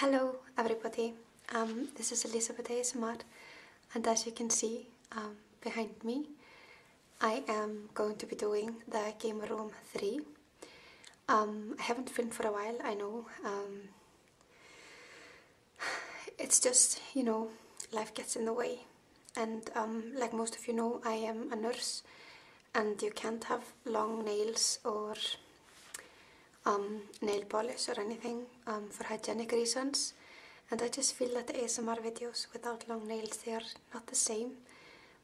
Hello everybody, um, this is Elizabeth ASMR and as you can see um, behind me I am going to be doing the Game Room 3. Um, I haven't filmed for a while, I know. it's just, you know, life gets in the way and like most of you know I am a nurse and you can't have long nails or nail polish or anything for hygienic reasons and I just feel that ASMR videos without long nails they are not the same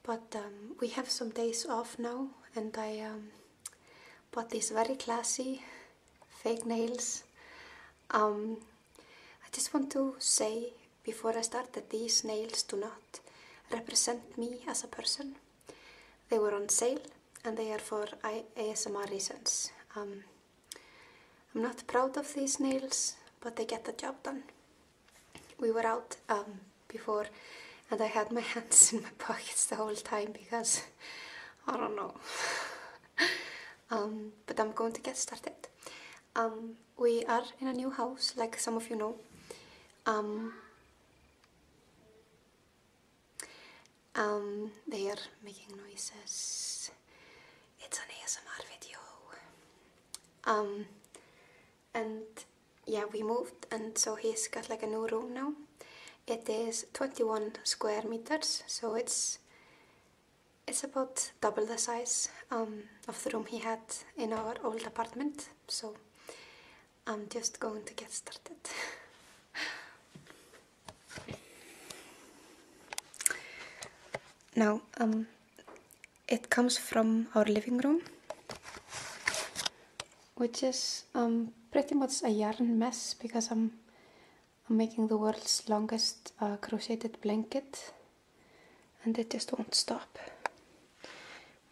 but um, we have some days off now and I um, bought these very classy fake nails um, I just want to say before I start that these nails do not represent me as a person they were on sale and they are for ASMR reasons. Um, I'm not proud of these nails, but they get the job done. We were out um, before and I had my hands in my pockets the whole time because I don't know. Um, but I'm going to get started. we are in a new house, like some of you know. Um, they are making noises. It's an ASMR video. Um, and yeah, we moved, and so he's got like a new room now. It is 21 square meters, so it's it's about double the size um, of the room he had in our old apartment. So I'm just going to get started. now, um, it comes from our living room, which is um, pretty much a yarn mess because I'm, making the world's longest uh, crocheted blanket and it just won't stop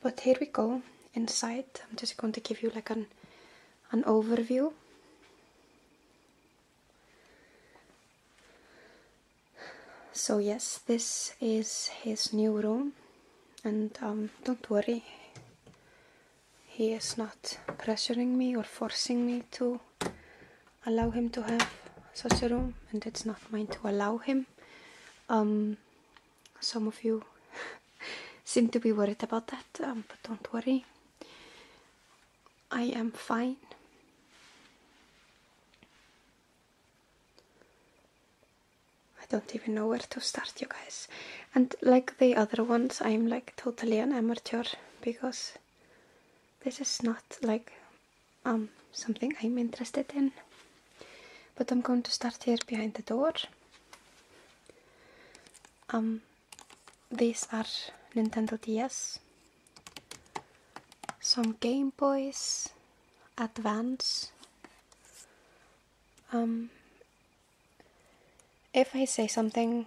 but here we go inside I'm just going to give you like an an overview so yes this is his new room and um, don't worry he is not pressuring me or forcing me to allow him to have such a room and it's not mine to allow him um, some of you seem to be worried about that, um, but don't worry, I am fine. I don't even know where to start, you guys. And like the other ones, I'm like totally an amateur because this is not like um, something I'm interested in. But I'm going to start here behind the door um, these are Nintendo DS, some Game Boys, Advance. Um, if I say something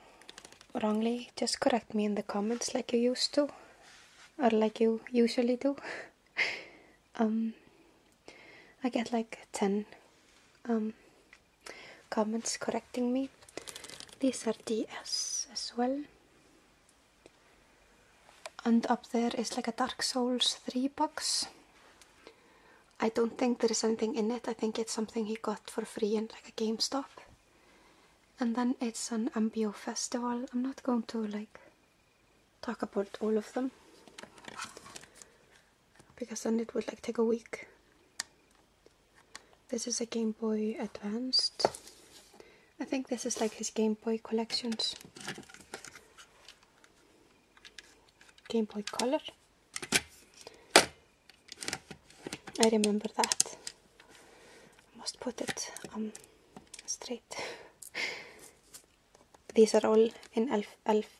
wrongly, just correct me in the comments like you used to, or like you usually do. um, I get like 10 um, comments correcting me. These are DS as well. And up there is like a Dark Souls 3 box. I don't think there is anything in it. I think it's something he got for free in like a GameStop. And then it's an MPO festival. I'm not going to like talk about all of them because then it would like take a week. This is a Game Boy Advanced. I think this is like his Game Boy collections. Game Boy Color. I remember that. must put it um, straight. These are all in elf, elf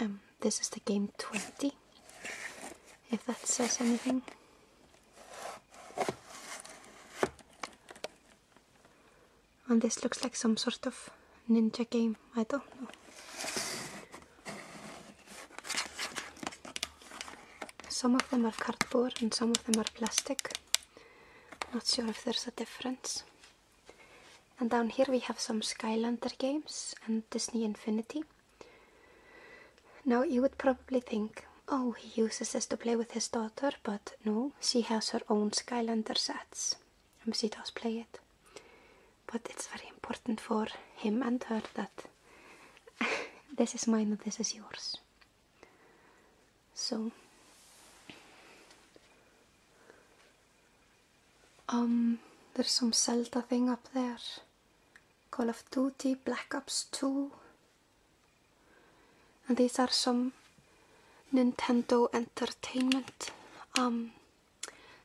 Um, this is the game 20, if that says anything. And this looks like some sort of ninja game, I don't know. Some of them are cardboard and some of them are plastic. Not sure if there's a difference. And down here we have some Skylander games and Disney Infinity. Now you would probably think, oh, he uses this to play with his daughter, but no, she has her own Skylander sets and she does play it. But it's very important for him and her that this is mine and this is yours. So, um, there's some Zelda thing up there. Call of Duty, Black Ops 2. And these are some Nintendo Entertainment um,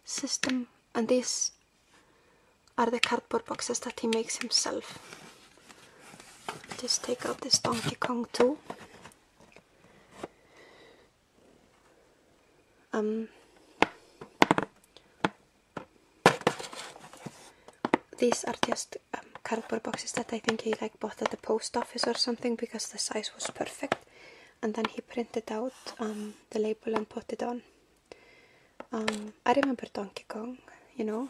system. And these are the cardboard boxes that he makes himself. Just take out this Donkey Kong too. Um, these are just um, cardboard boxes that I think he like bought at the post office or something because the size was perfect and then he printed out um, the label and put it on. Um, I remember Donkey Kong, you know,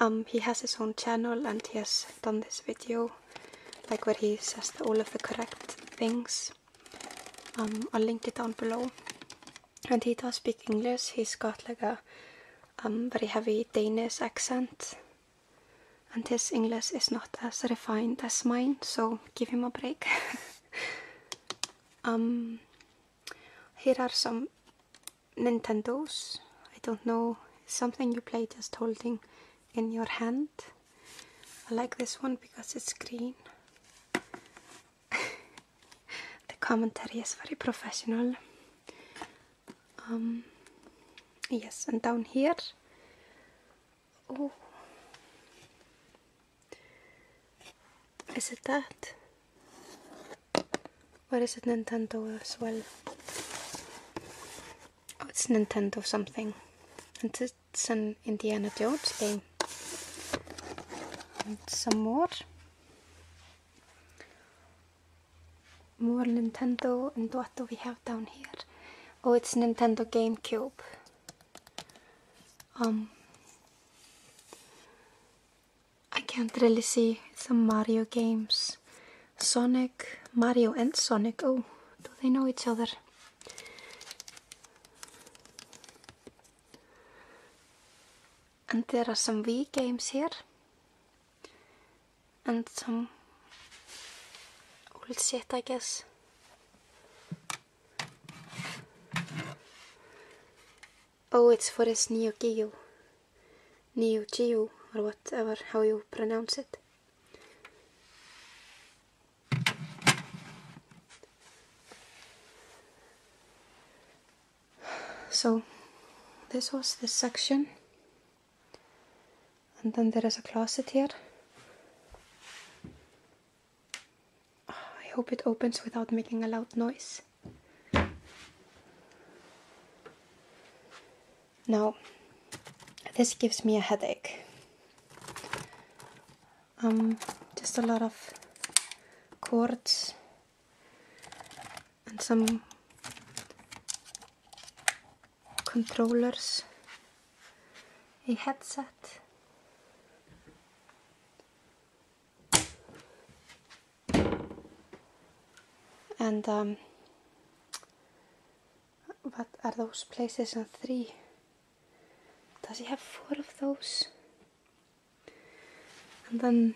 Um, he has his own channel and he has done this video, like where he says all of the correct things. Um, I'll link it down below. And he does speak English. He's got like a um, very heavy Danish accent, and his English is not as refined as mine. So give him a break. here are some Nintendos. I don't know, something you play just holding in your hand. I like this one because it's green. the commentary is very professional. Um, yes, and down here, oh. Is it that? Or it Nintendo as well? Oh, it's Nintendo something. And it's an Indiana Jones game. And some more. More Nintendo and what do we have down here? Oh, it's Nintendo GameCube. Um, I can't really see some Mario games. Sonic, Mario and Sonic. Oh, do they know each other? And there are some Wii games here. And some old shit, I guess. Oh, it's for this Neo Geo, or whatever, how you pronounce it. So, this was this section. And then there is a closet here. I hope it opens without making a loud noise. Now, this gives me a headache. Um, just a lot of cords and some controllers, a headset and um, what are those PlayStation 3? Does he have four of those? And then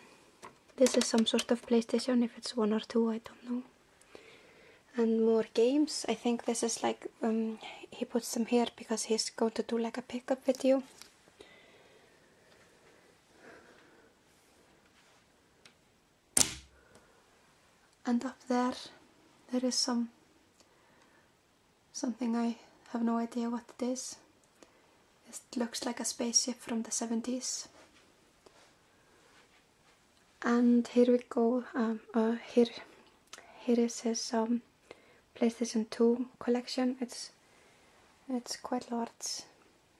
this is some sort of PlayStation, if it's one or two, I don't know. And more games. I think this is like, um, he puts them here because he's going to do like a pickup with you and up there there is some something I have no idea what it is it looks like a spaceship from the 70s and here we go um, uh, here here is his um, PlayStation 2 collection it's it's quite large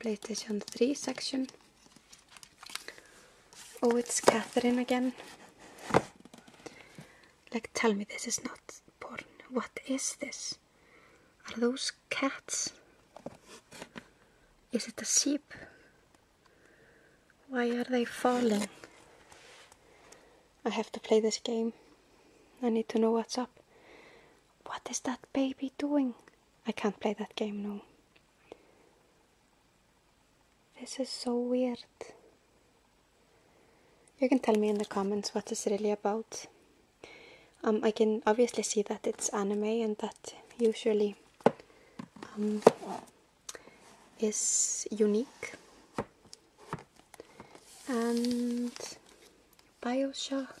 PlayStation 3 section. Oh, it's Catherine again. Like, tell me this is not porn. What is this? Are those cats? Is it a sheep? Why are they falling? I have to play this game. I need to know what's up. What is that baby doing? I can't play that game no. This is so weird. You can tell me in the comments what it's really about. Um, I can obviously see that it's anime and that usually um, is unique. And Bioshock,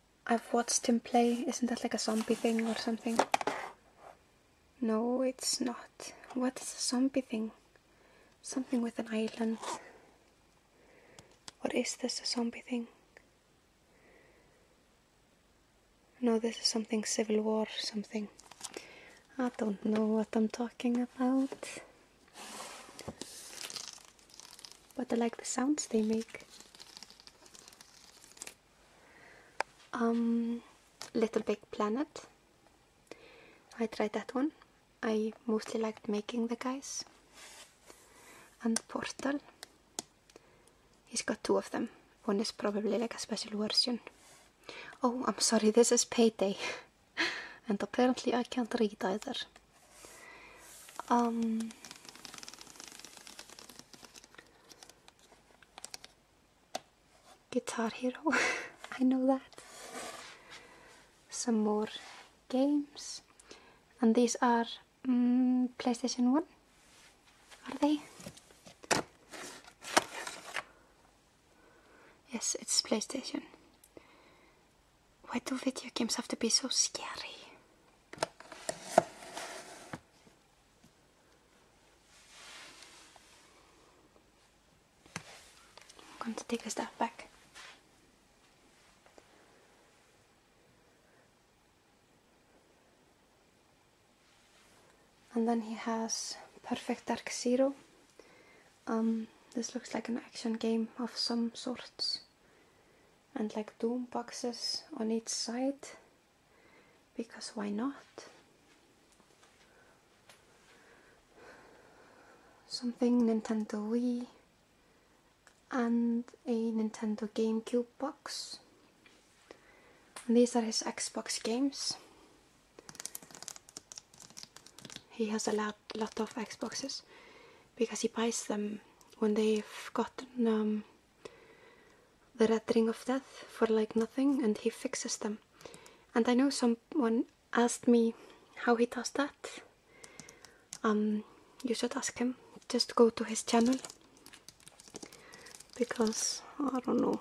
I've watched him play. Isn't that like a zombie thing or something? No, it's not. What is a zombie thing? Something with an island. What is this, a zombie thing? No, this is something Civil War something. I don't know what I'm talking about but I like the sounds they make. Um, Little Big Planet. I tried that one. I mostly liked making the guys. And Portal. He's got two of them. One is probably like a special version. Oh, I'm sorry, this is Payday. and apparently I can't read either. Um, Guitar Hero, I know that. Some more games, and these are mm, PlayStation 1, are they? Yes, it's PlayStation. Why do video games have to be so scary? I'm going to take a step back. And then he has Perfect Dark Zero. Um, this looks like an action game of some sorts and like doom boxes on each side because why not? Something Nintendo Wii and a Nintendo GameCube box. And these are his Xbox games. He has a lot, lot of Xboxes because he buys them when they've gotten um, the red ring of death for like nothing and he fixes them. And I know someone asked me how he does that. Um, you should ask him. Just go to his channel because I don't know.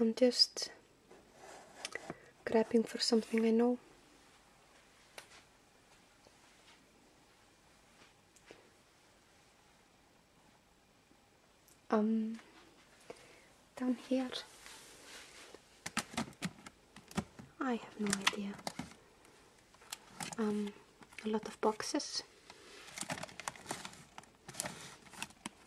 I'm just grabbing for something I know. Um, down here, I have no idea. Um, a lot of boxes.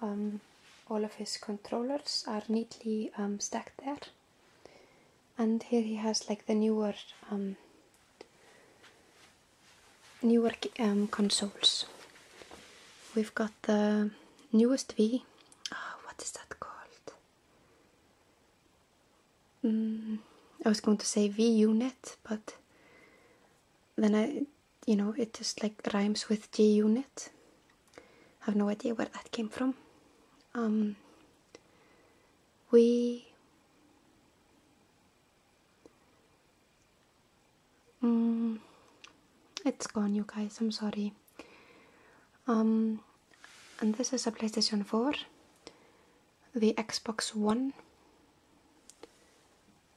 Um, all of his controllers are neatly um, stacked there, and here he has like the newer, um, newer um, consoles. We've got the newest V. Ah, what is that called? Mm, I was going to say V unit, but then I, you know, it just like rhymes with G unit have no idea where that came from. Um, we mm, it's gone, you guys. I'm sorry. Um, and this is a PlayStation 4, the Xbox One,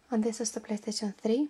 and this is the PlayStation 3.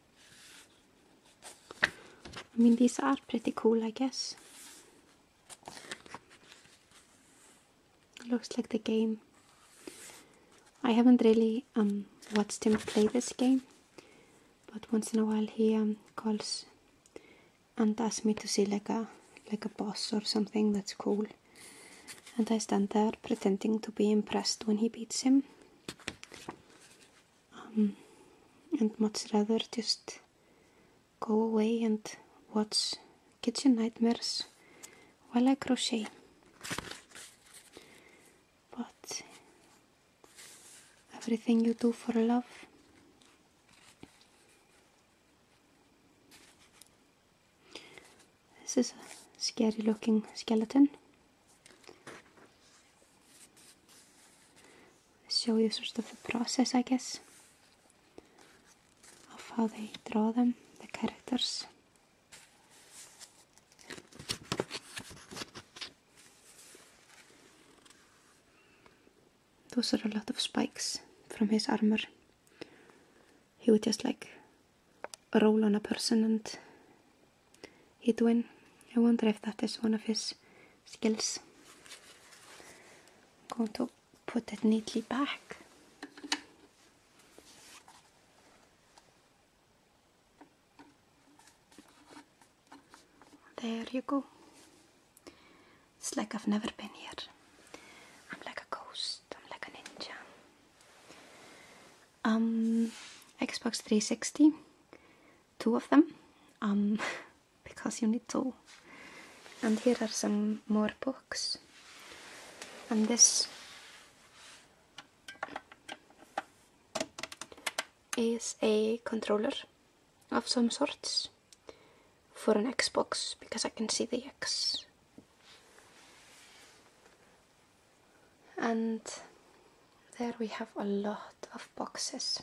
I mean, these are pretty cool, I guess. Looks like the game. I haven't really um, watched him play this game, but once in a while he um, calls and asks me to see like a like a boss or something that's cool, and I stand there pretending to be impressed when he beats him um, and much rather just go away and watch kitchen nightmares while I crochet. But everything you do for love this is a scary looking skeleton show you sort of the process, I guess, of how they draw them, the characters. Those are a lot of spikes from his armor. He would just like roll on a person and hit would win. I wonder if that is one of his skills. I'm going to put it neatly back. There you go. It's like I've never been here. I'm like a ghost. I'm like a ninja. Um, Xbox 360. Two of them. Um, because you need two. And here are some more books. And this is a controller of some sorts for an Xbox because I can see the X. And there we have a lot of boxes.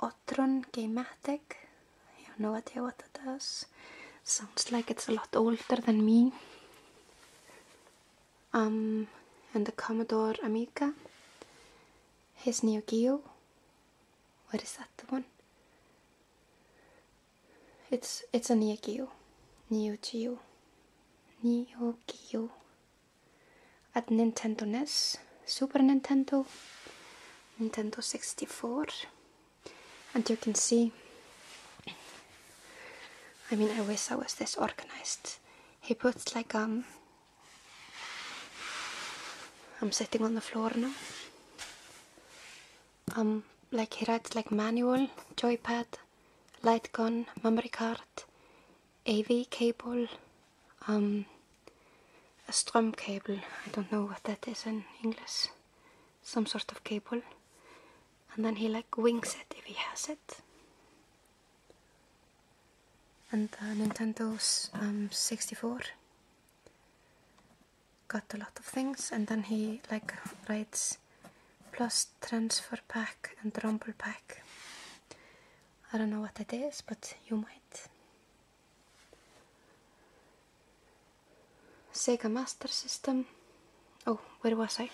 Otron Geimatic. I have no idea what that does. Sounds like it's a lot older than me. Um, and the Commodore Amiga. His Neo What is that the one? It's it's a Neo Geo. Neo at Nintendo NES, Super Nintendo, Nintendo 64, and you can see. I mean, I wish I was this organized. He puts like um. I'm sitting on the floor now. Um, like he writes like manual, joypad, light gun, memory card, AV cable, um, a strum cable, I don't know what that is in English, some sort of cable, and then he like wings it if he has it. And uh, Nintendo's um, 64 got a lot of things, and then he like writes plus transfer pack and rumble pack. I don't know what that is, but you might. Sega Master System. Oh, where was I?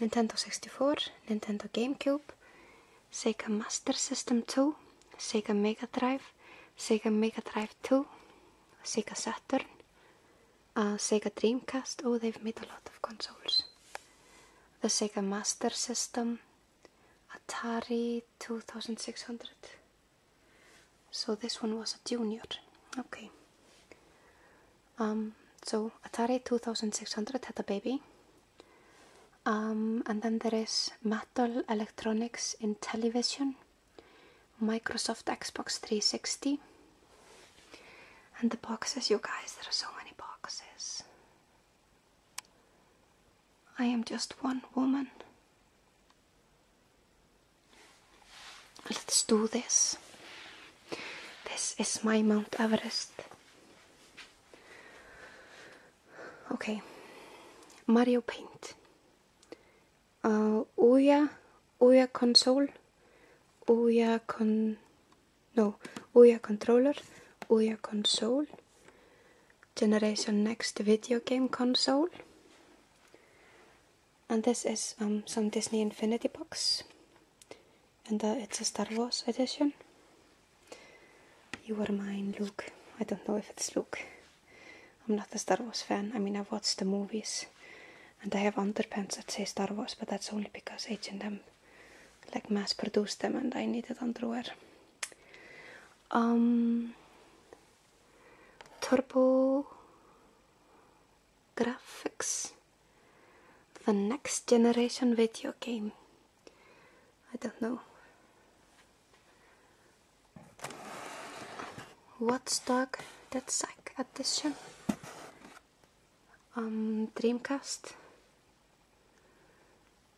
Nintendo 64, Nintendo GameCube, Sega Master System 2, Sega Mega Drive, Sega Mega Drive 2, Sega Saturn, uh, Sega Dreamcast. Oh, they've made a lot of consoles. The Sega Master System, Atari 2600. So this one was a junior. Okay. Um, so Atari 2600 had a baby. Um, and then there is Mattel Electronics in television, Microsoft Xbox 360. And the boxes, you guys, there are so many boxes. I am just one woman. Let's do this. This is my Mount Everest. Okay. Mario Paint. Uh, Ouya, Ouya Console, Ouya Con... No, Ouya Controller, Ouya Console generation next video game console and this is um, some Disney Infinity box and uh, it's a Star Wars edition you are mine Luke I don't know if it's Luke I'm not a Star Wars fan I mean i watched the movies and I have underpants that say Star Wars but that's only because H&M like mass produced them and I needed underwear um, turbo graphics the next generation video game i don't know What's dog? that's sack edition um dreamcast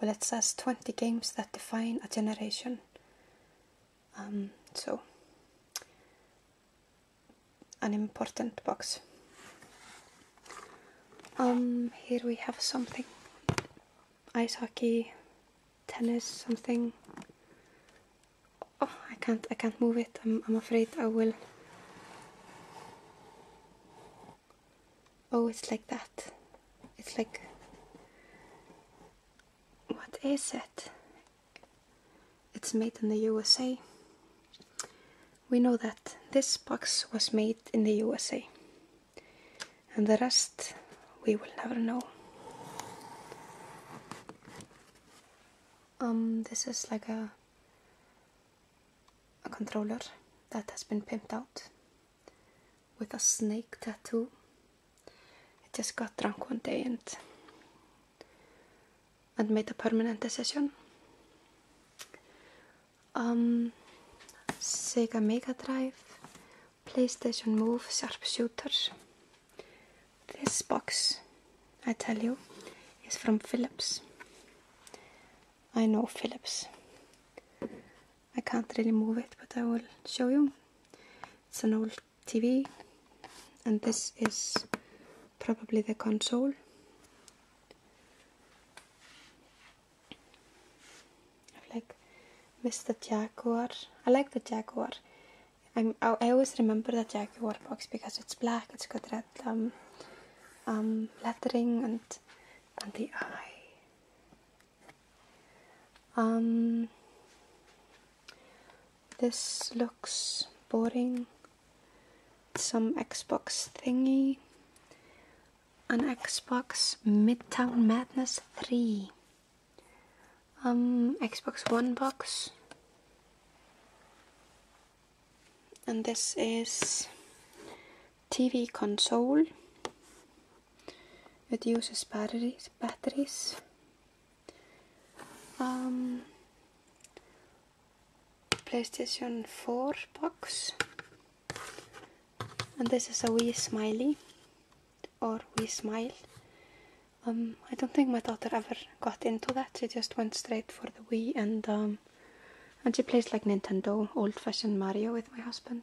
Well, it says 20 games that define a generation. Um, so, an important box. Um, here we have something. Ice hockey, tennis, something. Oh, I can't, I can't move it. I'm, I'm afraid I will oh it's like that it's like what is it it's made in the USA we know that this box was made in the USA and the rest we will never know um this is like a a controller that has been pimped out with a snake tattoo. I just got drunk one day and and made a permanent decision. Um, Sega Mega Drive, PlayStation Move, Sharpshooter. This box, I tell you, is from Philips. I know Philips. I can't really move it but I will show you it's an old TV and this is probably the console i like Mister Jaguar I like the Jaguar i always remember the Jaguar box because it's black it's got red um, um, lettering and the eye um, this looks boring. Some Xbox thingy. An Xbox Midtown Madness 3. Um, Xbox One box. And this is TV console. It uses batteries. Batteries. Um, PlayStation 4 box. And this is a wee smiley or we smile. Um, I don't think my daughter ever got into that. She just went straight for the Wii and um, and she plays like Nintendo, old-fashioned Mario with my husband.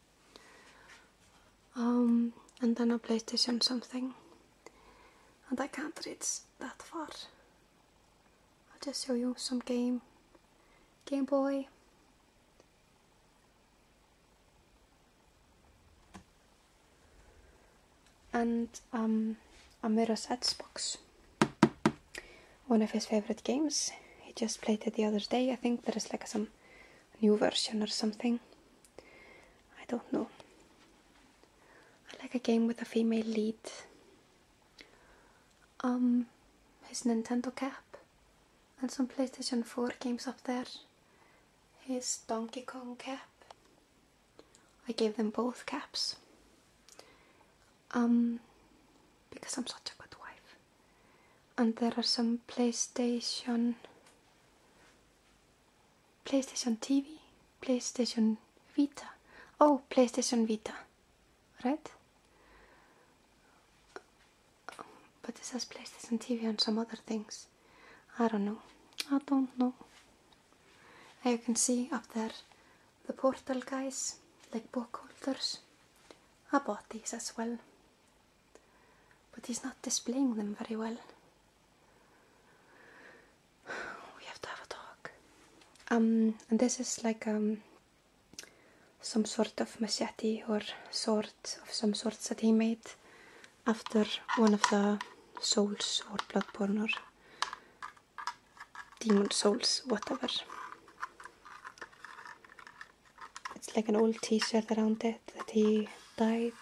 Um, and then a PlayStation something. And I can't reach that far. I'll just show you some game. Game Boy. And um, a Mirror's Edge box. One of his favorite games. He just played it the other day. I think there is like some new version or something. I don't know. I like a game with a female lead. Um, his Nintendo cap and some PlayStation 4 games up there. His Donkey Kong cap. I gave them both caps. Um, because I'm such a good wife. And there are some PlayStation PlayStation TV, PlayStation Vita. Oh, PlayStation Vita, right? But it says PlayStation TV and some other things. I don't know. I don't know. And you can see up there the portal guys, like book holders. I bought these as well. But he's not displaying them very well. We have to have a talk. Um, and this is like um, some sort of machete or sword of some sort that he made after one of the souls or bloodborne or demon souls, whatever. it's like an old t-shirt around it that he died,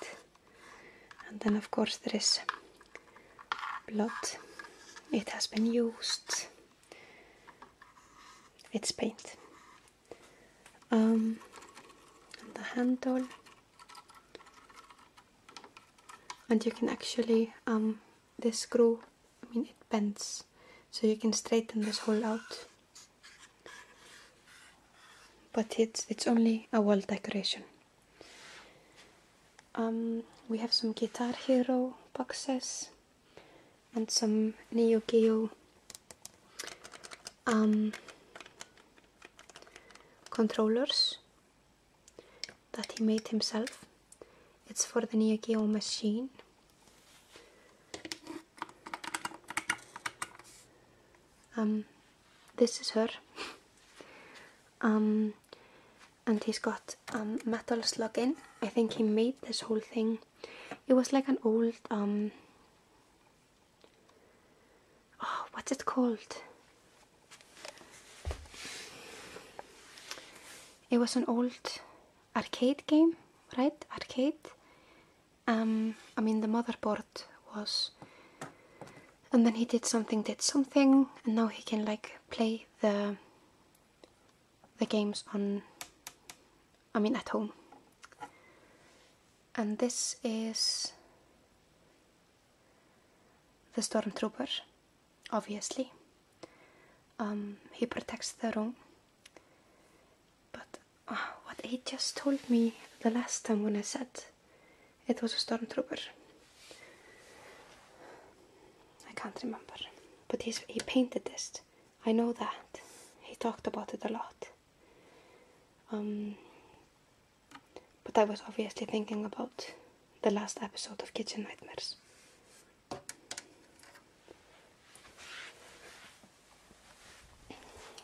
and then of course there is blood it has been used it's paint um, and the handle and you can actually um, this screw I mean it bends so you can straighten this hole out but it's it's only a wall decoration um, we have some Guitar Hero boxes and some Neo Geo um, controllers that he made himself. It's for the Neo Geo machine. Um, this is her. um, and he's got um, metal slugging. I think he made this whole thing. It was like an old um. Oh, what's it called? It was an old arcade game, right? Arcade. Um, I mean the motherboard was and then he did something did something and now he can like play the the games on I mean at home and this is the stormtrooper obviously um, he protects the room but ah, what he just told me the last time when I said it was a stormtrooper. I can't remember. But he's, he painted this. I know that. He talked about it a lot. Um, but I was obviously thinking about the last episode of Kitchen Nightmares.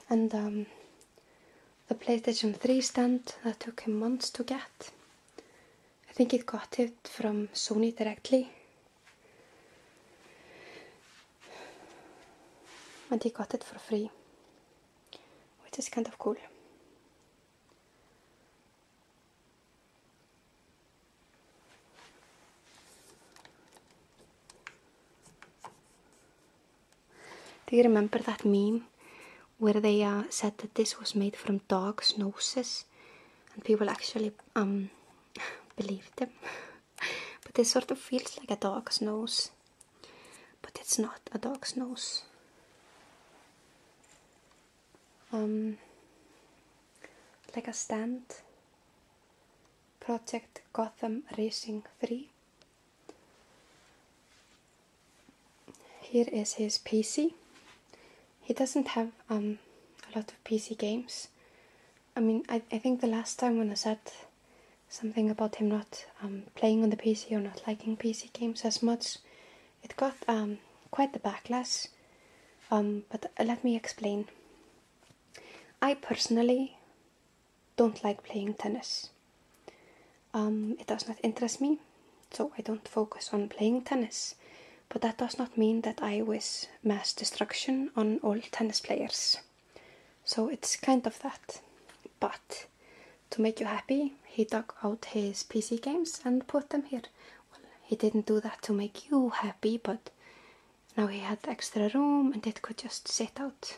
And um, the PlayStation 3 stand that took him months to get. I think he got it from Sony directly. And he got it for free, which is kind of cool. Do you remember that meme where they said that this was made from dogs' noses and people actually um, believed them? but this sort of feels like a dog's nose, but it's not a dog's nose. Um, like a stand. Project Gotham Racing 3 here is his PC. He doesn't have um, a lot of PC games. I mean, I, think the last time when I said something about him not um, playing on the PC or not liking PC games as much, it got um, quite the backlash. but let me explain. I personally don't like playing tennis. Um, it does not interest me, so I don't focus on playing tennis. But that does not mean that I wish mass destruction on all tennis players. So it's kind of that. But to make you happy, he dug out his PC games and put them here. he didn't do that to make you happy, but now he had extra room and it could just sit out.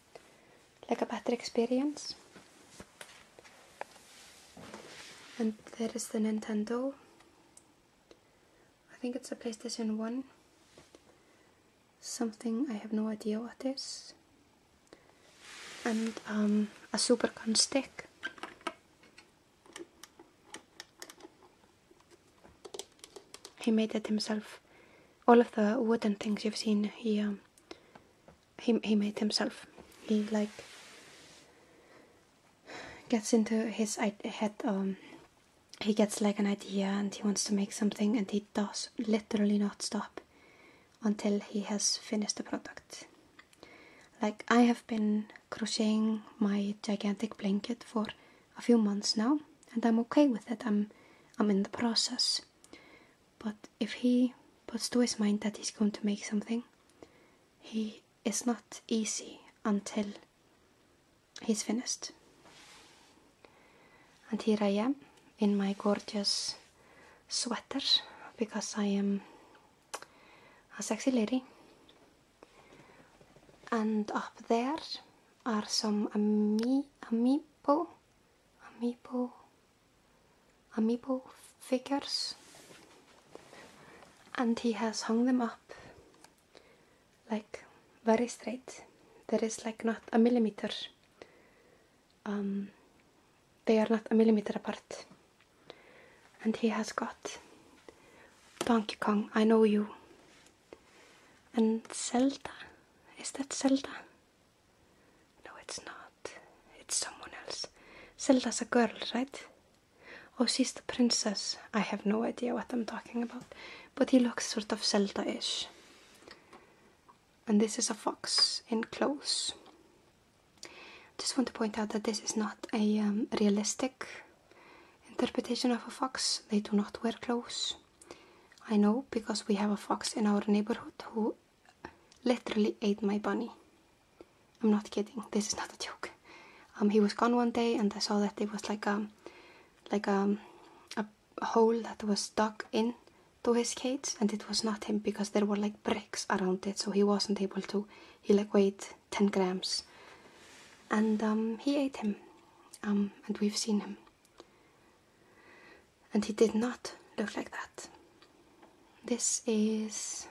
like a better experience. And there is the Nintendo. I think it's a PlayStation 1. Something I have no idea what is. And um, a Supercon stick. He made it himself. All of the wooden things you've seen, here. Um, he he made himself. He like gets into his head. Um, he gets like an idea and he wants to make something, and he does literally not stop until he has finished the product. Like I have been crocheting my gigantic blanket for a few months now, and I'm okay with it. I'm I'm in the process, but if he puts to his mind that he's going to make something, he is not easy until he's finished. And here I am in my gorgeous sweater because I am a sexy lady. And up there are some ami amiibo amiibo amiibo figures and he has hung them up like very straight there is like not a millimeter um, they are not a millimeter apart and he has got Donkey Kong, I know you and Zelda, is that Zelda? No, it's not. It's someone else. Zelda's a girl, right? Oh, she's the princess. I have no idea what I'm talking about, but he looks sort of Zelda ish. And this is a fox in clothes. Just want to point out that this is not a um, realistic interpretation of a fox, they do not wear clothes. I know because we have a fox in our neighborhood who literally ate my bunny. I'm not kidding. This is not a joke. Um, he was gone one day, and I saw that it was like a, um, like um, a, a hole that was stuck in to his cage, and it was not him because there were like bricks around it, so he wasn't able to. He like weighed ten grams, and he ate him, and we've seen him and he did not look like that. This is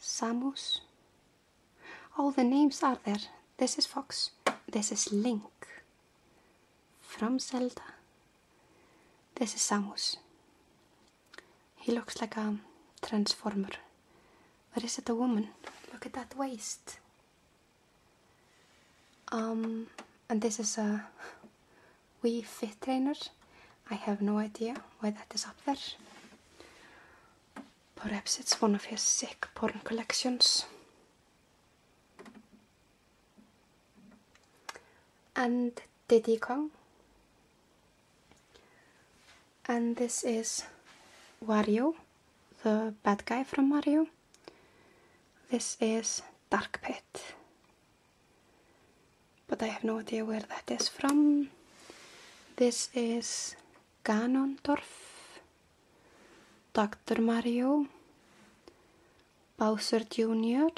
Samus. All the names are there. This is Fox. This is Link from Zelda. This is Samus. He looks like a transformer. Or is it a woman? Look at that waist. Um, and this is a Wii Fit Trainer. I have no idea why that is up there. Perhaps it's one of his sick porn collections. And Diddy Kong. And this is Wario, the bad guy from Mario. This is Dark Pit. But I have no idea where that is from. This is Ganondorf, Dr. Mario, Bowser Jr.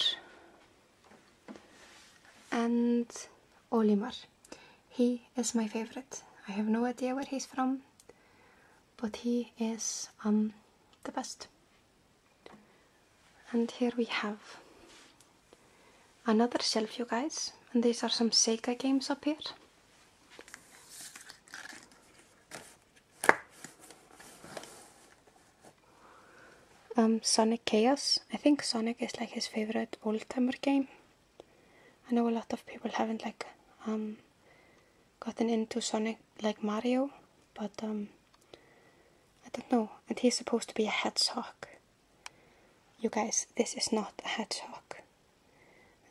and Olimar. He is my favorite. I have no idea where he's from, but he is um, the best and here we have another shelf you guys and these are some Sega games up here um, Sonic Chaos I think Sonic is like his favorite old-timer game I know a lot of people haven't like um, gotten into Sonic like Mario, but um, I don't know. And he's supposed to be a hedgehog. You guys, this is not a hedgehog.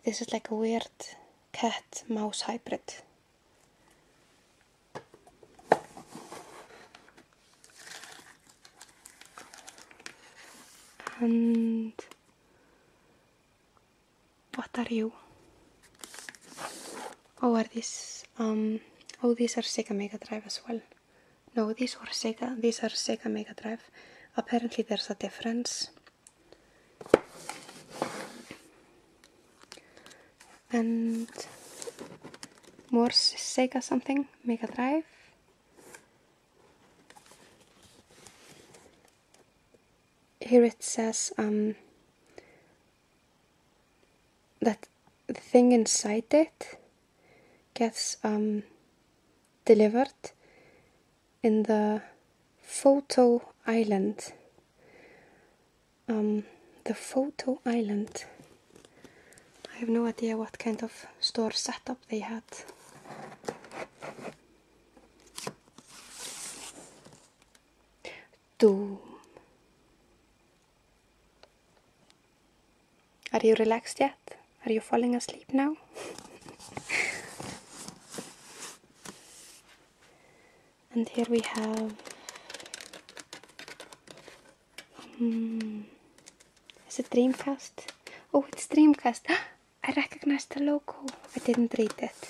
This is like a weird cat mouse hybrid. And what are you? Oh, are these? Um, oh, these are Sega Mega Drive as well. No, these are Sega. These are Sega Mega Drive. Apparently, there's a difference. And more Sega something Mega Drive. Here it says um, that thing inside it gets um, delivered in the photo island. Um, the photo island. I have no idea what kind of store setup they had. Do. Are you relaxed yet? Are you falling asleep now? and here we have. Hmm, is it Dreamcast? Oh, it's Dreamcast! I recognize the logo. I didn't read it.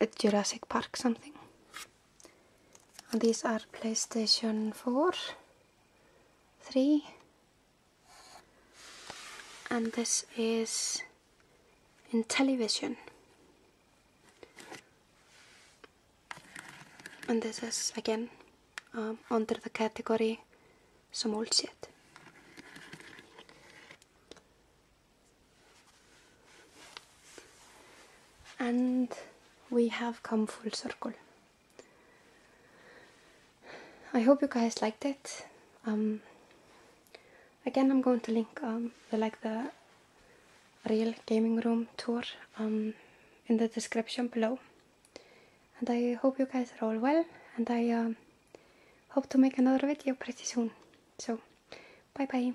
It's Jurassic Park something. And these are PlayStation 4, 3, and this is in television. And this is again um, under the category small old shit and we have come full circle. I hope you guys liked it. Um, again, I'm going to link um, like the real gaming room tour um, in the description below. And I hope you guys are all well. And I hope to make another video pretty soon. So, bye bye.